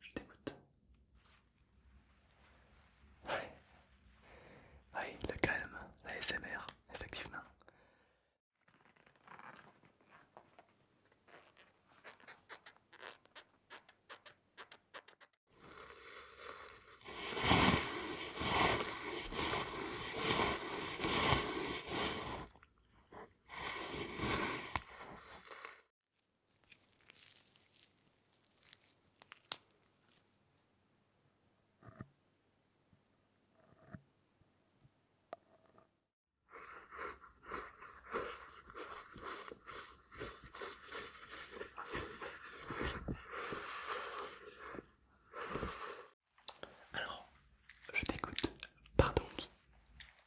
Je t'écoute. Ouais. Ouais, le calme, la SMR, effectivement. Alors, je t'écoute. Pardon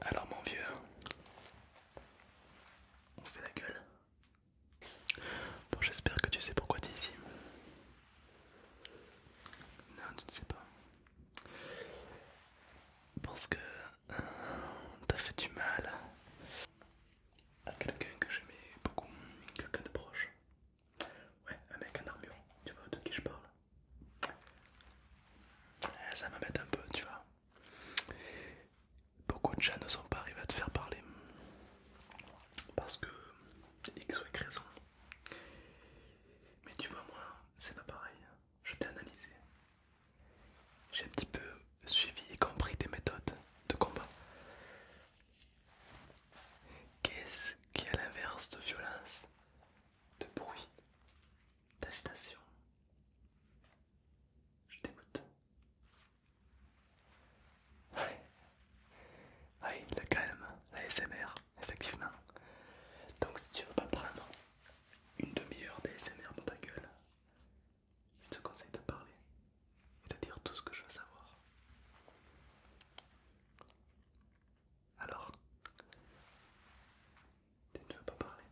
Alors mon vieux, on fait la gueule. Bon j'espère que tu sais pourquoi tu es ici. Non tu ne sais pas. Parce que euh, t'as fait du mal à quelqu'un que j'aimais beaucoup, quelqu'un de proche. Ouais, un mec en armure, tu vois de qui je parle. Eh, ça m'embête un peu, tu vois. Beaucoup de gens ne sont pas arrivés à te faire parler parce que X ou Y raison. Mais tu vois, moi, c'est pas pareil. Je t'ai analysé. J'ai un petit peu suivi et compris tes méthodes de combat. Qu'est-ce qui, à l'inverse de violence, de bruit, d'agitation. Je t'écoute. Oui, la calme, la SMR, effectivement. Donc si tu veux pas prendre une demi-heure d'ASMR dans ta gueule, je te conseille de parler et de dire tout ce que je veux savoir. Alors Tu ne veux pas parler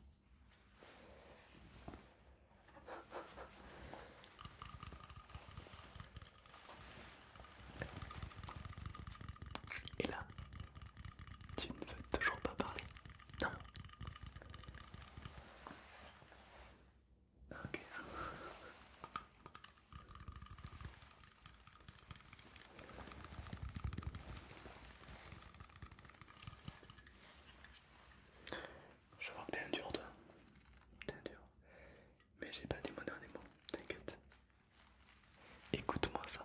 Et là Tu ne veux toujours pas parler Non Ok. Je vois que t'es un dur toi. T'es un dur. Mais j'ai pas dit mon dernier mot, t'inquiète. Écoute-moi ça.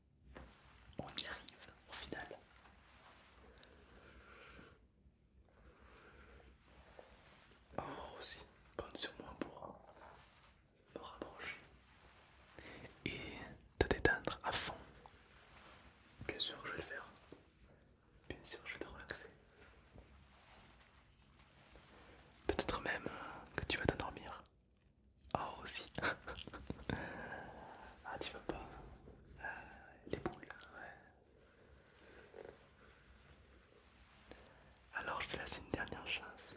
On y arrive au final. Oh aussi, compte sur moi pour me rapprocher et te détendre à fond. Bien sûr que je vais le faire. Bien sûr je vais te relaxer. Peut-être même que tu vas t'endormir. Oh aussi Ah tu veux pas euh, Les boules ouais. Alors je te laisse une dernière chance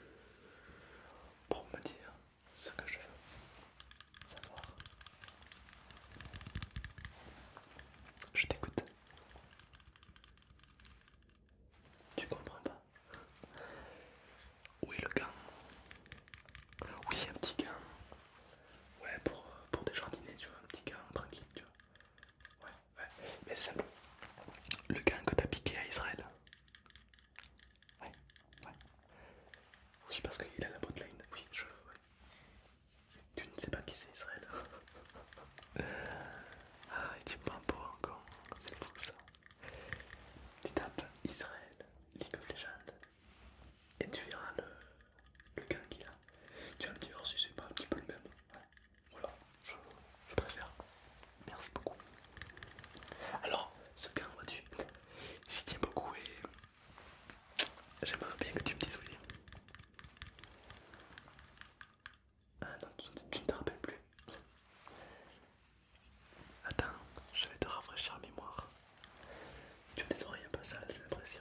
pour me dire ce que je veux savoir. Je t'écoute. Tu comprends pas où est le gant Oui, un petit gant. Ouais, pour, pour des tu vois, un petit gant tranquille, tu vois. Ouais, ouais. Mais c'est simple. Le gant que t'as piqué à Israël. Ouais, ouais. Oui, parce qu'il a la botline. Oui, je. Ouais. Tu ne sais pas qui c'est Israël. ah, il est me pour C'est fou ça. Tu tapes Israël, League of Legends, et tu verras le, le gain qu'il a. Tu vas me dire si c'est pas un petit peu le même. Voilà, je, préfère. Merci beaucoup. Alors, ce gain, vois-tu, j'y tiens beaucoup et j'aimerais bien que tu me dises où Ah non, tu ne te rappelles plus. Attends, je vais te rafraîchir la mémoire. Tu as des oreilles un peu sales, j'ai l'impression.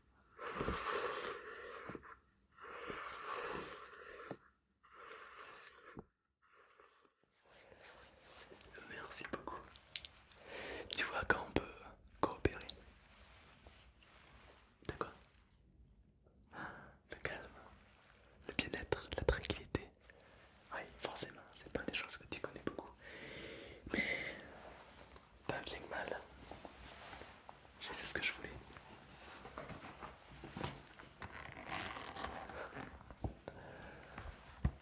Merci beaucoup. Tu vois quand on peut coopérer. D'accord hein, Le calme, le bien-être, la tranquillité. Oui, forcément, c'est pas des choses que tu connais beaucoup. Mais pas bien que mal. Je sais ce que je voulais.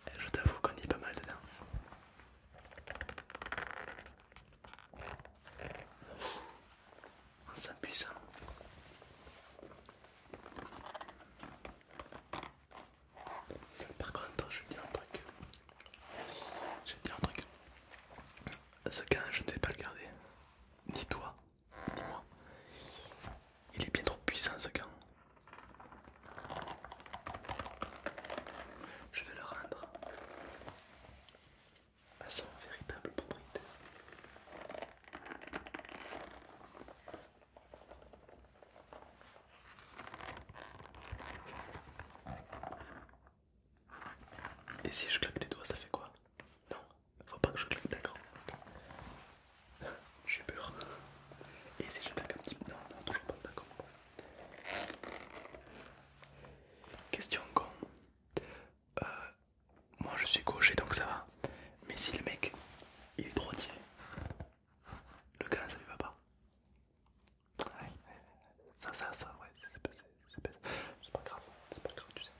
Eh, je t'avoue qu'on y est pas mal dedans. On sent ça. Par contre, je vais te dire un truc. J'ai dit un truc. Ce camp je ne vais pas le garder. Ni toi, ni moi. Il est bien trop puissant ce camp. Je vais le rendre à son véritable propriétaire. Et si je claque tes doigts, ça fait quoi Non, faut pas que je claque, d'accord. suis pur Et si je claque un petit peu Non, non, toujours pas, d'accord. Question con. Euh, moi je suis gaucher donc ça va. Mais si le mec il est droitier, le gars ça lui va pas. Ouais, ça, ça, ça, ouais, c'est pas, pas grave, c'est pas grave, tu sais.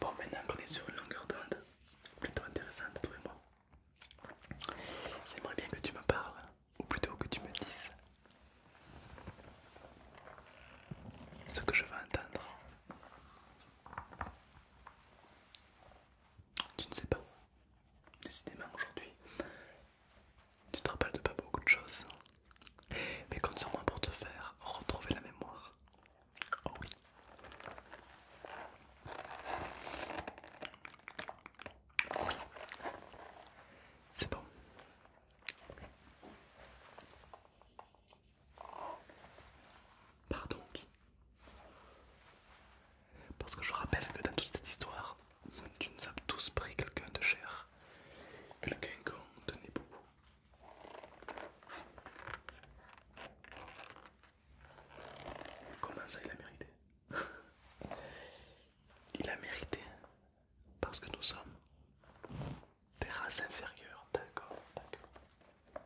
Bon, maintenant qu'on est sur une longueur d'onde plutôt intéressante, trouvez-moi. J'aimerais bien que tu me parles, ou plutôt que tu me dises ce que je veux entendre. Tu ne sais pas. Décidément aujourd'hui, tu te rappelles de pas beaucoup de choses. Mais compte sur moi pour te faire retrouver la mémoire. Oh oui. Oh c'est bon. Pardon, parce que je rappelle que dans toute cette histoire, tu nous as tous pris quelqu'un de cher, quelqu'un qu'on tenait beaucoup. Comment ça il a mérité Il a mérité parce que nous sommes des races inférieures, d'accord, d'accord.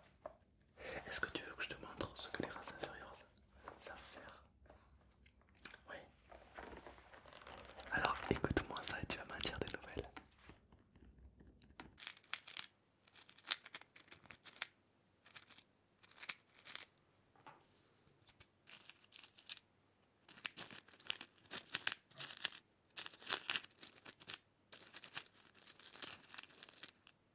Est-ce que tu veux que je te montre ce que les races inférieures savent faire Oui. Alors écoute-moi ça et tu vas m'en dire des nouvelles.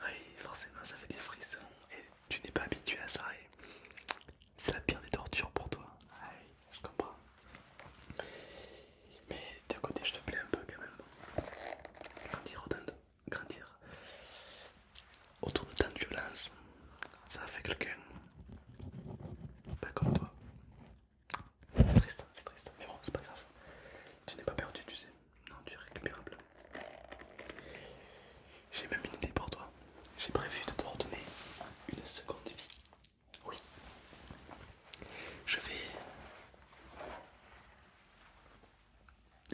Oui, forcément, ça fait des frissons et tu n'es pas habitué à ça. Et... C'est la pire des tortures pour toi. Oui, je comprends. Mais d'un côté, je te plais un peu quand même. Grandir autant de... Grandir. Autour de tant de violence, ça a fait quelqu'un. Pas comme toi. C'est triste, c'est triste. Mais bon, c'est pas grave. Tu n'es pas perdu, tu sais. Non, tu es récupérable. J'ai même une idée pour toi. J'ai prévu de te redonner une seconde vie. Oui. Je vais,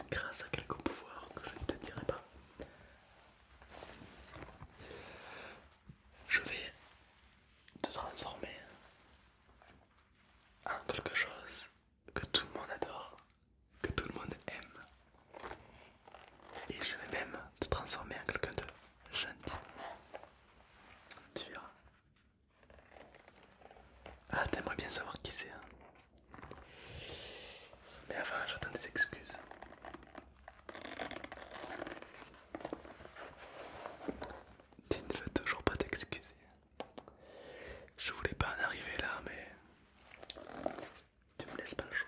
grâce à quelques pouvoirs que je ne te dirai pas, je vais te transformer en quelque chose que tout le monde adore, que tout le monde aime. Et je vais même te transformer en quelqu'un de gentil. Tu verras. Ah, t'aimerais bien savoir qui c'est. Hein. Mais avant, j'attends des excuses. Tu ne veux toujours pas t'excuser. Je voulais pas en arriver là, mais tu me laisses pas le choix.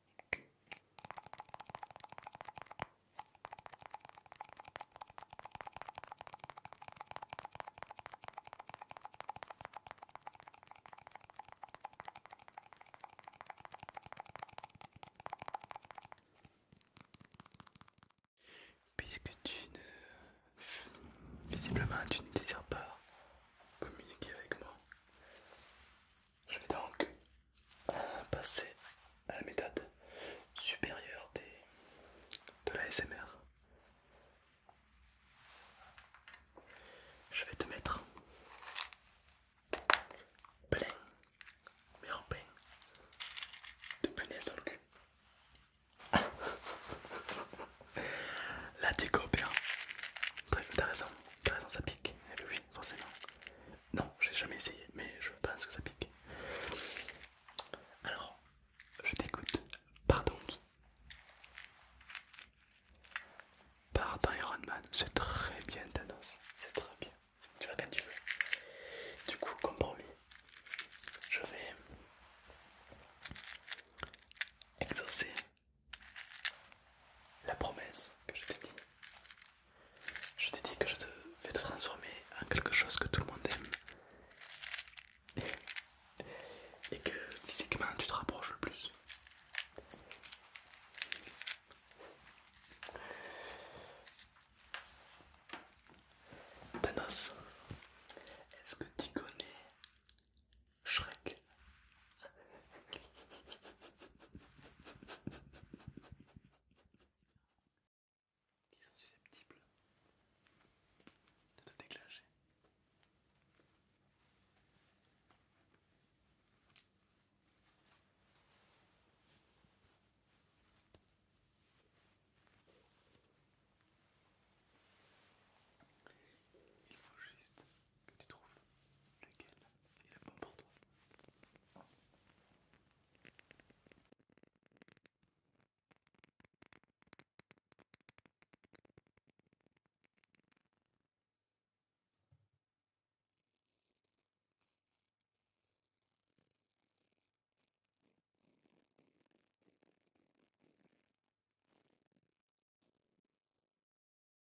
Puisque tu ne... Visiblement, tu ne désires pas communiquer avec moi. Je vais donc euh, passer à la méthode supérieure des, de la SMR. Je vais te mettre plein, mais en plein, de punaises dans le cul. Ah. Là tu coopères, hein. très intéressant, intéressant ça pique, et eh oui forcément, non, j'ai jamais essayé, mais je pense que ça pique. Alors, je t'écoute. Pardon qui Pardon Iron Man, c'est très bien ta danse, c'est très bien. Tu vas quand tu veux. Du coup, comme promis, je vais exaucer la promesse que je t'ai dit. Je t'ai dit que je te vais te transformer en quelque chose que tout le monde aime. Et, que physiquement tu te rapproches le plus. Thanos, est-ce que tu connais Shrek qui sont susceptibles de te déclencher. Il faut juste que tu trouves lequel est le bon pour toi.